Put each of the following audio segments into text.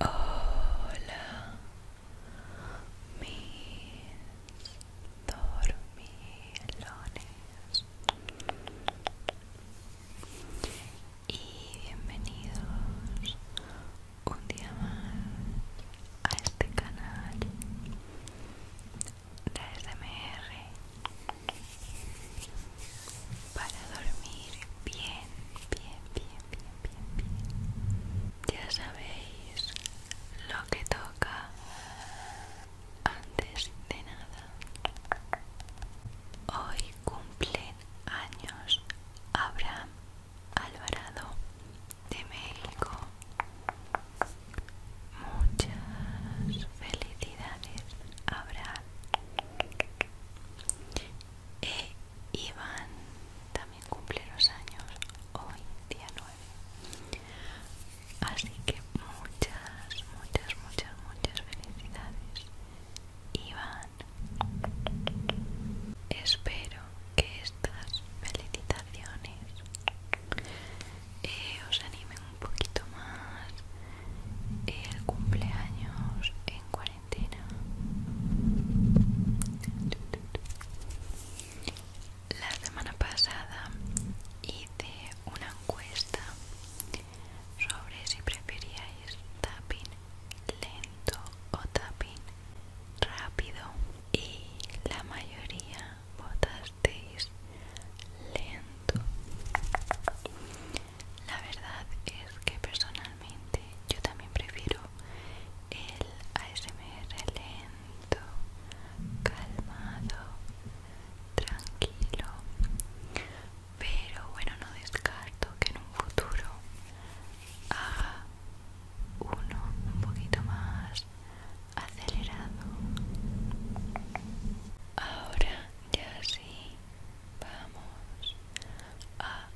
Hola, mis dormilones y bienvenidos un día más a este canal la SMR para dormir bien, bien, bien, bien, bien, bien. Ya sabéis lo que toca antes de nada. Hoy cumplen años Abraham Alvarado de México. Muchas felicidades, habrá. E Iván también cumple los años hoy, día 9. Así que muchas, muchas, muchas, muchas felicidades, Iván. Espero que estas felicitaciones eh, os animen un poquito más el eh, cumpleaños en cuarentena. La semana pasada hice una encuesta sobre si preferíais tapping lento o tapping rápido y la mayoría vota lento. La verdad es que personalmente yo también prefiero el ASMR lento, calmado, tranquilo. Pero bueno, no descarto que en un futuro haga uno un poquito más acelerado ahora ya sí vamos a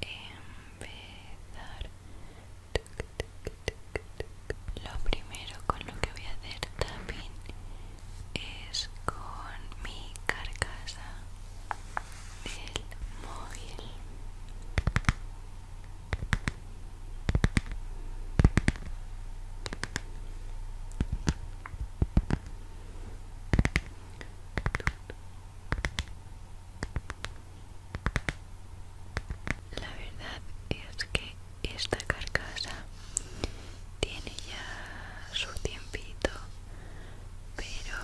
empezar lo primero con lo que voy a hacer también es con mi carcasa del móvil la verdad es que esta carcasa tiene ya su tiempito, pero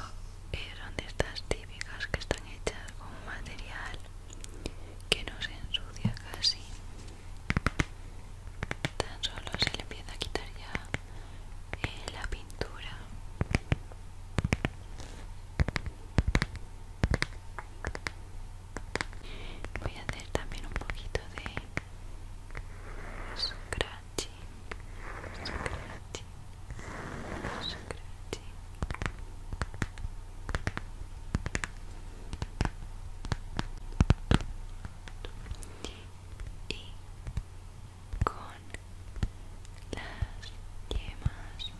es donde estas típicas que están hechas con material que no se ensucia casi tan solo se le empieza a quitar ya eh, la pintura voy a hacer también un poquito de scratching y con las yemas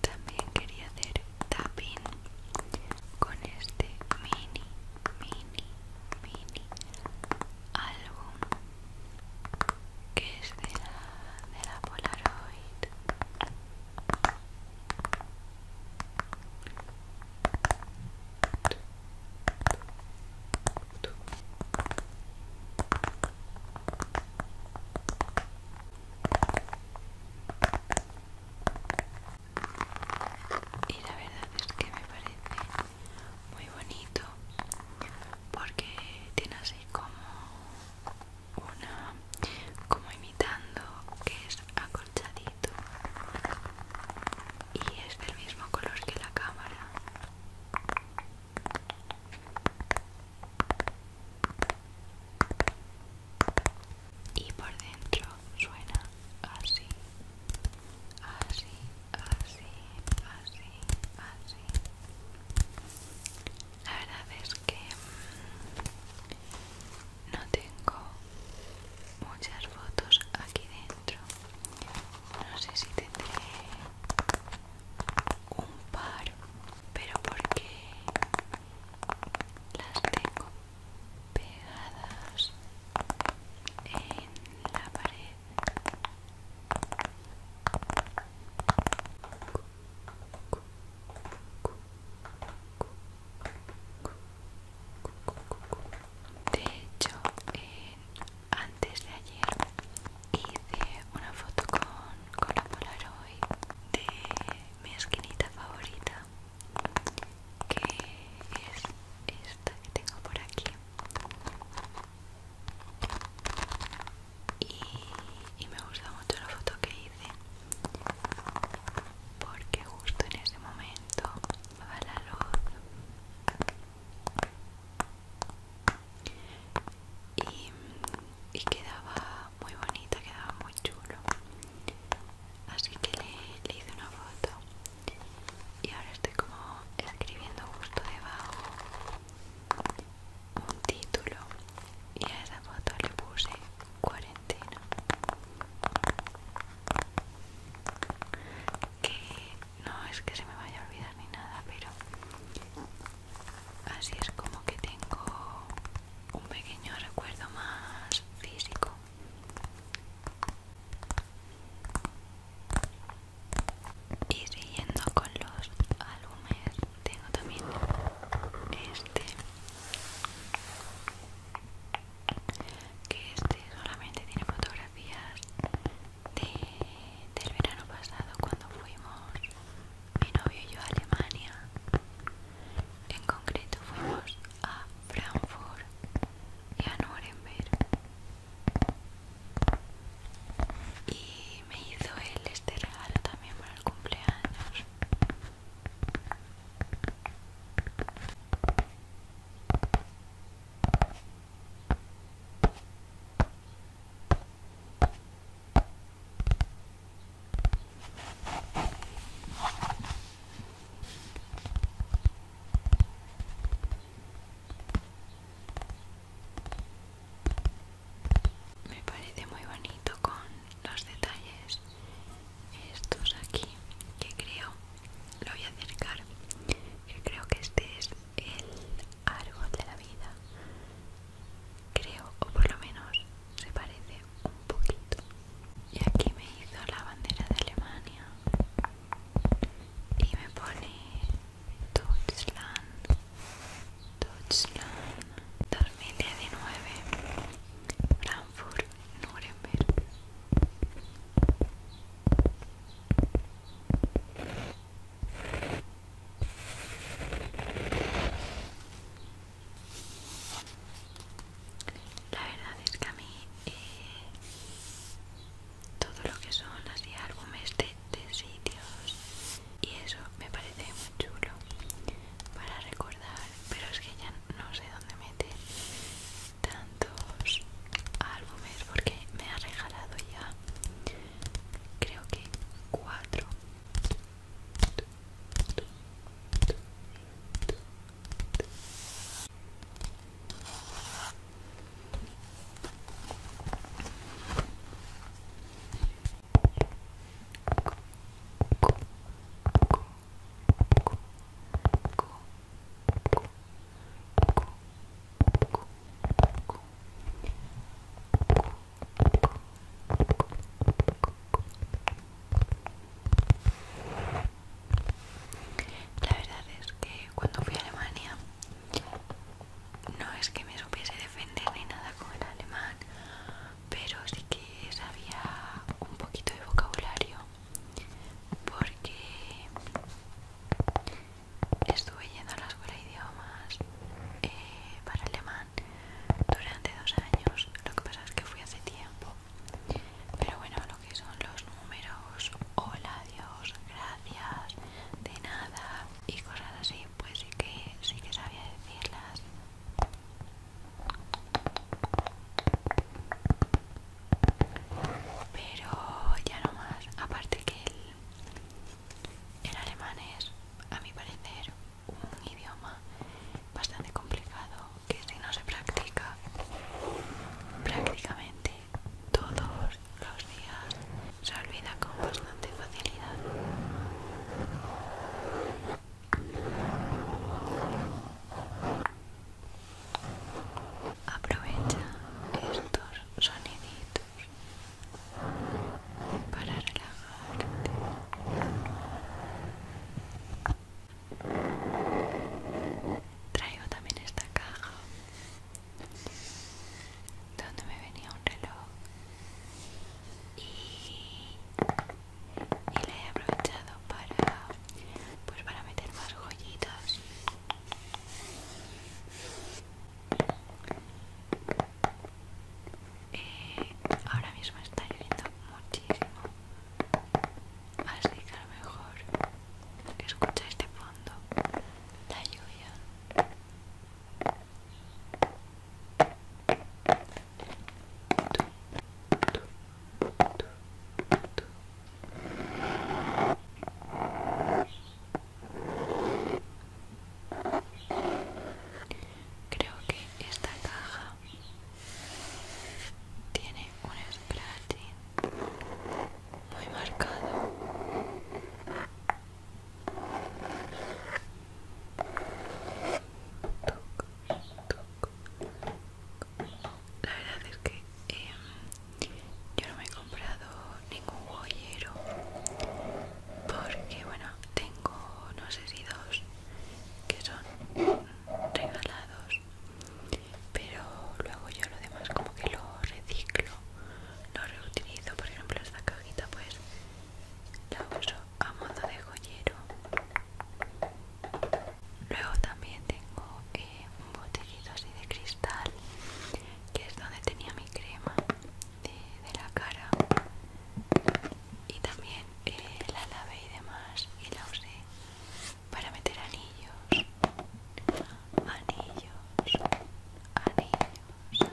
también quería hacer tapping con este mini, mini, mini álbum que es de de la Polaroid y la verdad es que me parece muy bonito porque tiene así como una como imitando que es acolchadito y es del mismo color que la cámara y por dentro suena así así así así así la verdad es que no tengo muchas fotos aquí dentro no sé si tendré un par pero porque las tengo pegadas en la pared de hecho, antes de ayer hice una foto con, con la Polaroid de mi esquinita favorita, que es esta que tengo por aquí. Y, me gusta mucho la foto que hice porque justo en ese momento daba la luz y, quedaba muy bonito, quedaba muy chulo así que le hice una foto y ahora estoy como escribiendo justo debajo un título y a esa foto le puse cuarentena que no es que se me vaya a olvidar ni nada pero así es como que tengo un pequeño recuerdo más físico y siguiendo con los alumnos tengo también este que este solamente tiene fotografías de, del verano pasado cuando fuimos mi novio y yo a Alemania en concreto fuimos a Frankfurt y a Nuremberg y me hizo él este regalo también para el cumpleaños me parece muy bonito con los detalles estos aquí que creo lo voy a acercar que creo que este es el árbol de la vida creo o por lo menos se parece un poquito y aquí me hizo la bandera de Alemania y me pone Deutschland Dutchland, 2019 Frankfurt, Nuremberg la verdad es que a mí eh, todo lo que son así álbumes de sitios y eso me parece muy chulo para recordar pero es que ya no sé dónde mete tantos álbumes porque me ha regalado ya creo que cuatro la verdad es que cuando fui a Alemania no es que me supiese defender ni nada con el alemán pero sí que sabía un poquito de vocabulario porque estuve yendo a la escuela de idiomas eh, para alemán durante dos años lo que pasa es que fui hace tiempo pero bueno lo que son los números hola adiós, gracias de nada y cosas así pues que sí que sabía decirlas pero ya no más, aparte que el, alemán es, a mi parecer, un idioma bastante complicado que si no se practica prácticamente todos los días se olvida con de facilidad. Aprovecha estos soniditos para relajarte. Traigo también esta caja donde me venía un reloj y, y la he aprovechado para pues para meter más joyitas eh, ahora mismo está lloviendo muchísimo así que a lo mejor escucha este fondo la lluvia Creo que esta caja tiene un scratching muy marcado la verdad es que em, yo no me he comprado ningún joyero porque bueno, tengo no sé dos que son regalados pero luego yo lo demás como que lo reciclo, lo reutilizo, por ejemplo esta cajita pues la uso a modo de joyero luego también tengo eh, un botellito así de cristal que es donde tenía mi crema de, la cara y también eh, la lavé y demás y la usé para meter anillos anillos anillos anillos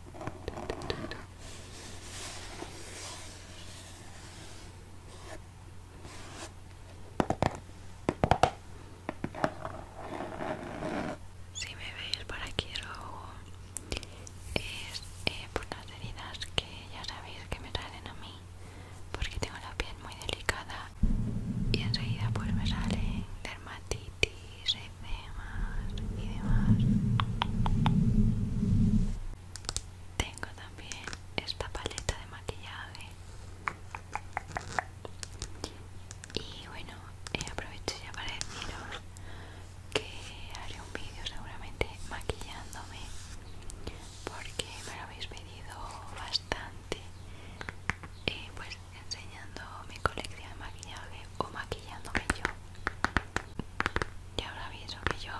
Si me veis por aquí es eh, por las heridas que ya sabéis que me salen a mí porque tengo la piel muy delicada y enseguida pues me salen dermatitis y demás y demás tengo también esta paleta de maquillaje y bueno eh, aprovecho ya para deciros que haré un vídeo seguramente maquillándome porque me lo habéis pedido bastante eh, pues enseñando mi colección de maquillaje o maquillándome yo y ahora aviso que yo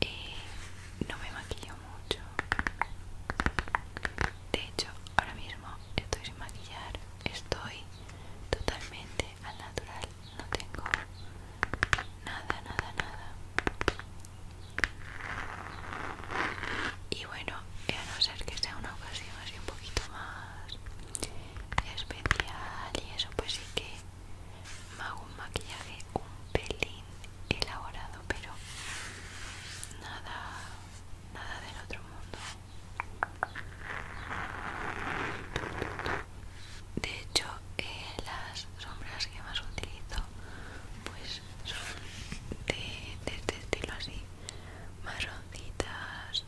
eh, no me maquillo mucho de hecho ahora mismo estoy sin maquillar estoy totalmente al natural no tengo nada nada nada y bueno, a no ser que sea una ocasión así un poquito más especial y eso pues sí que me hago un maquillaje un pelín elaborado pero nada nada del otro mundo de hecho eh, las sombras que más utilizo pues son de este estilo así marroncitas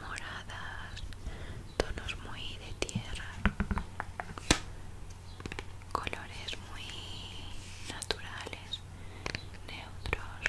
moradas, tonos muy de tierra, colores muy naturales, neutros.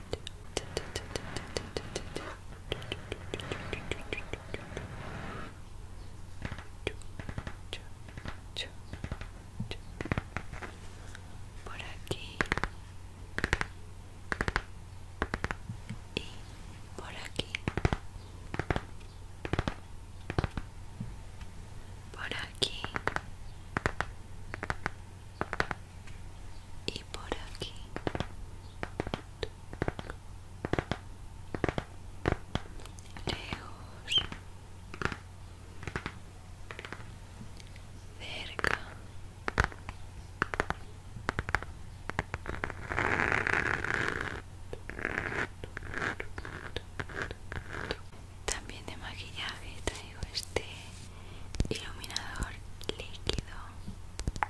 por aqui e por aqui, por aqui. Por aqui, y por aquí lejos cerca también de maquillaje traigo este iluminador líquido la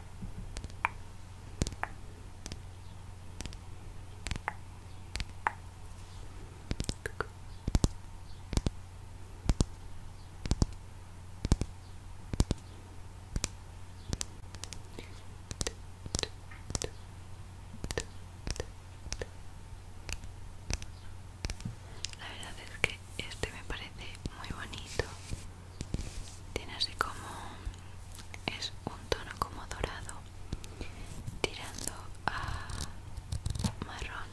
verdad es que este me parece muy bonito tiene así como es un tono como dorado tirando a marrón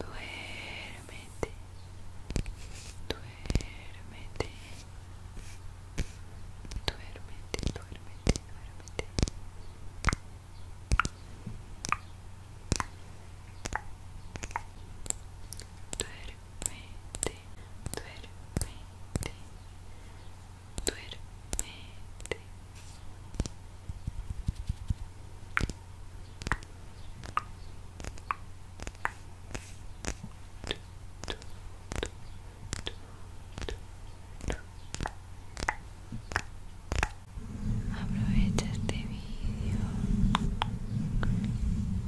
Duérmete, duérmete, duérmete, duérmete, duérmete duérmete, duérmete, Aprovecha este vídeo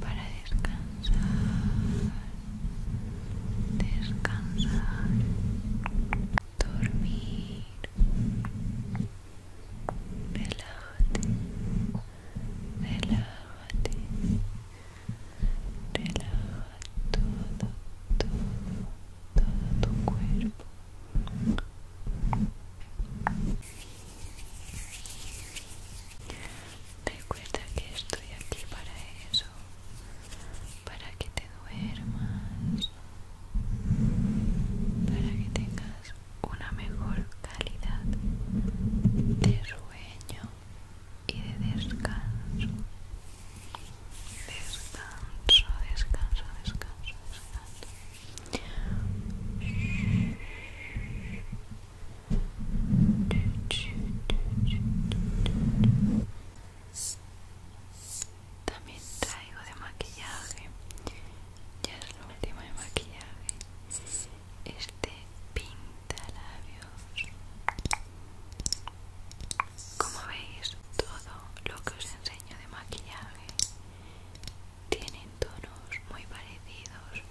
para descansar, descansar, dormir, relájate, relájate, relaja todo, todo, todo tu cuerpo. Recuerda que estoy aquí para eso, para que te duermas, para que tengas una mejor calidad de sueño y de descanso. Descanso, descanso, descanso, descanso. También traigo de maquillaje, ya es lo último de maquillaje, este pinta labios. Como veis, todo lo que os enseño de maquillaje tienen tonos muy parecidos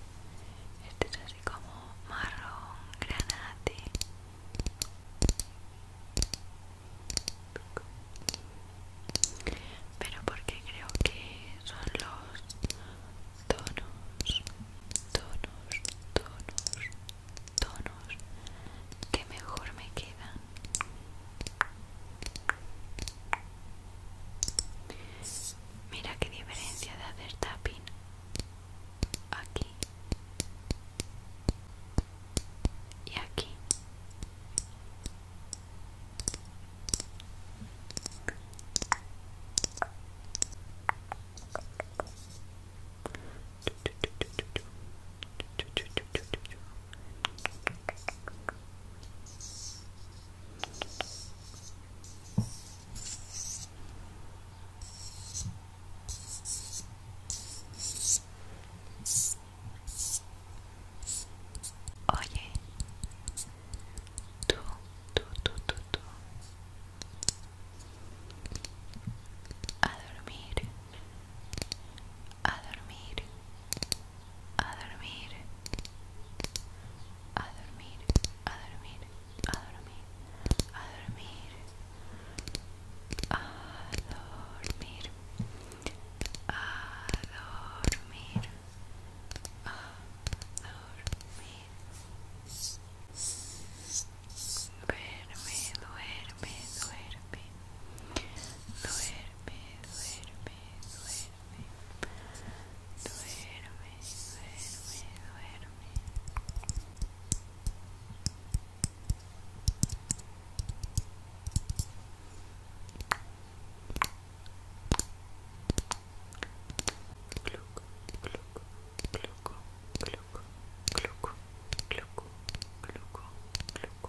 este es así como marrón granate pero porque creo que son los tonos tonos tonos tonos que mejor me quedan Mira qué diferencia de hacer tapping aquí y aquí. Oye, tú, tú, tú, tú, tú, a dormir, a dormir, a dormir a dormir, a dormir, a dormir, a dormir, a dormir, a dormir, a dormir. Duerme, duerme, duerme, duerme, duerme, duerme. duerme, duerme, duerme. Cluck, cluck, cluck, cluck, cluck, cluck, cluck, cluck.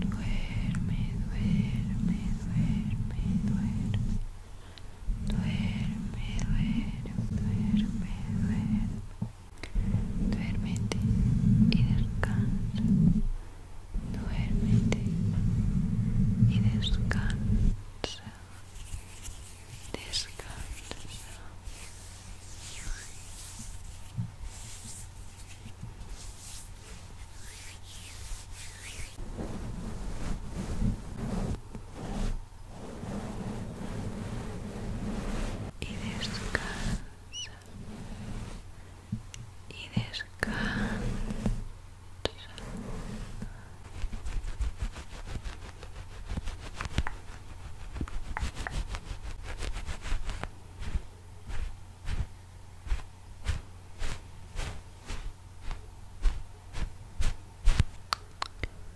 Duerme, duerme, duerme, duerme. Duerme, duerme, duerme, duerme. Duérmete y descansa. duerme y descansa. Descansa. Y descansa. Y descansa.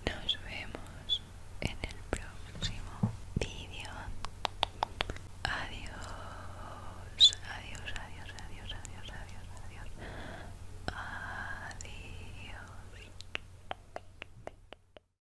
Nos vemos en el próximo vídeo. Adiós, adiós, adiós, adiós, adiós, adiós, adiós. Adiós.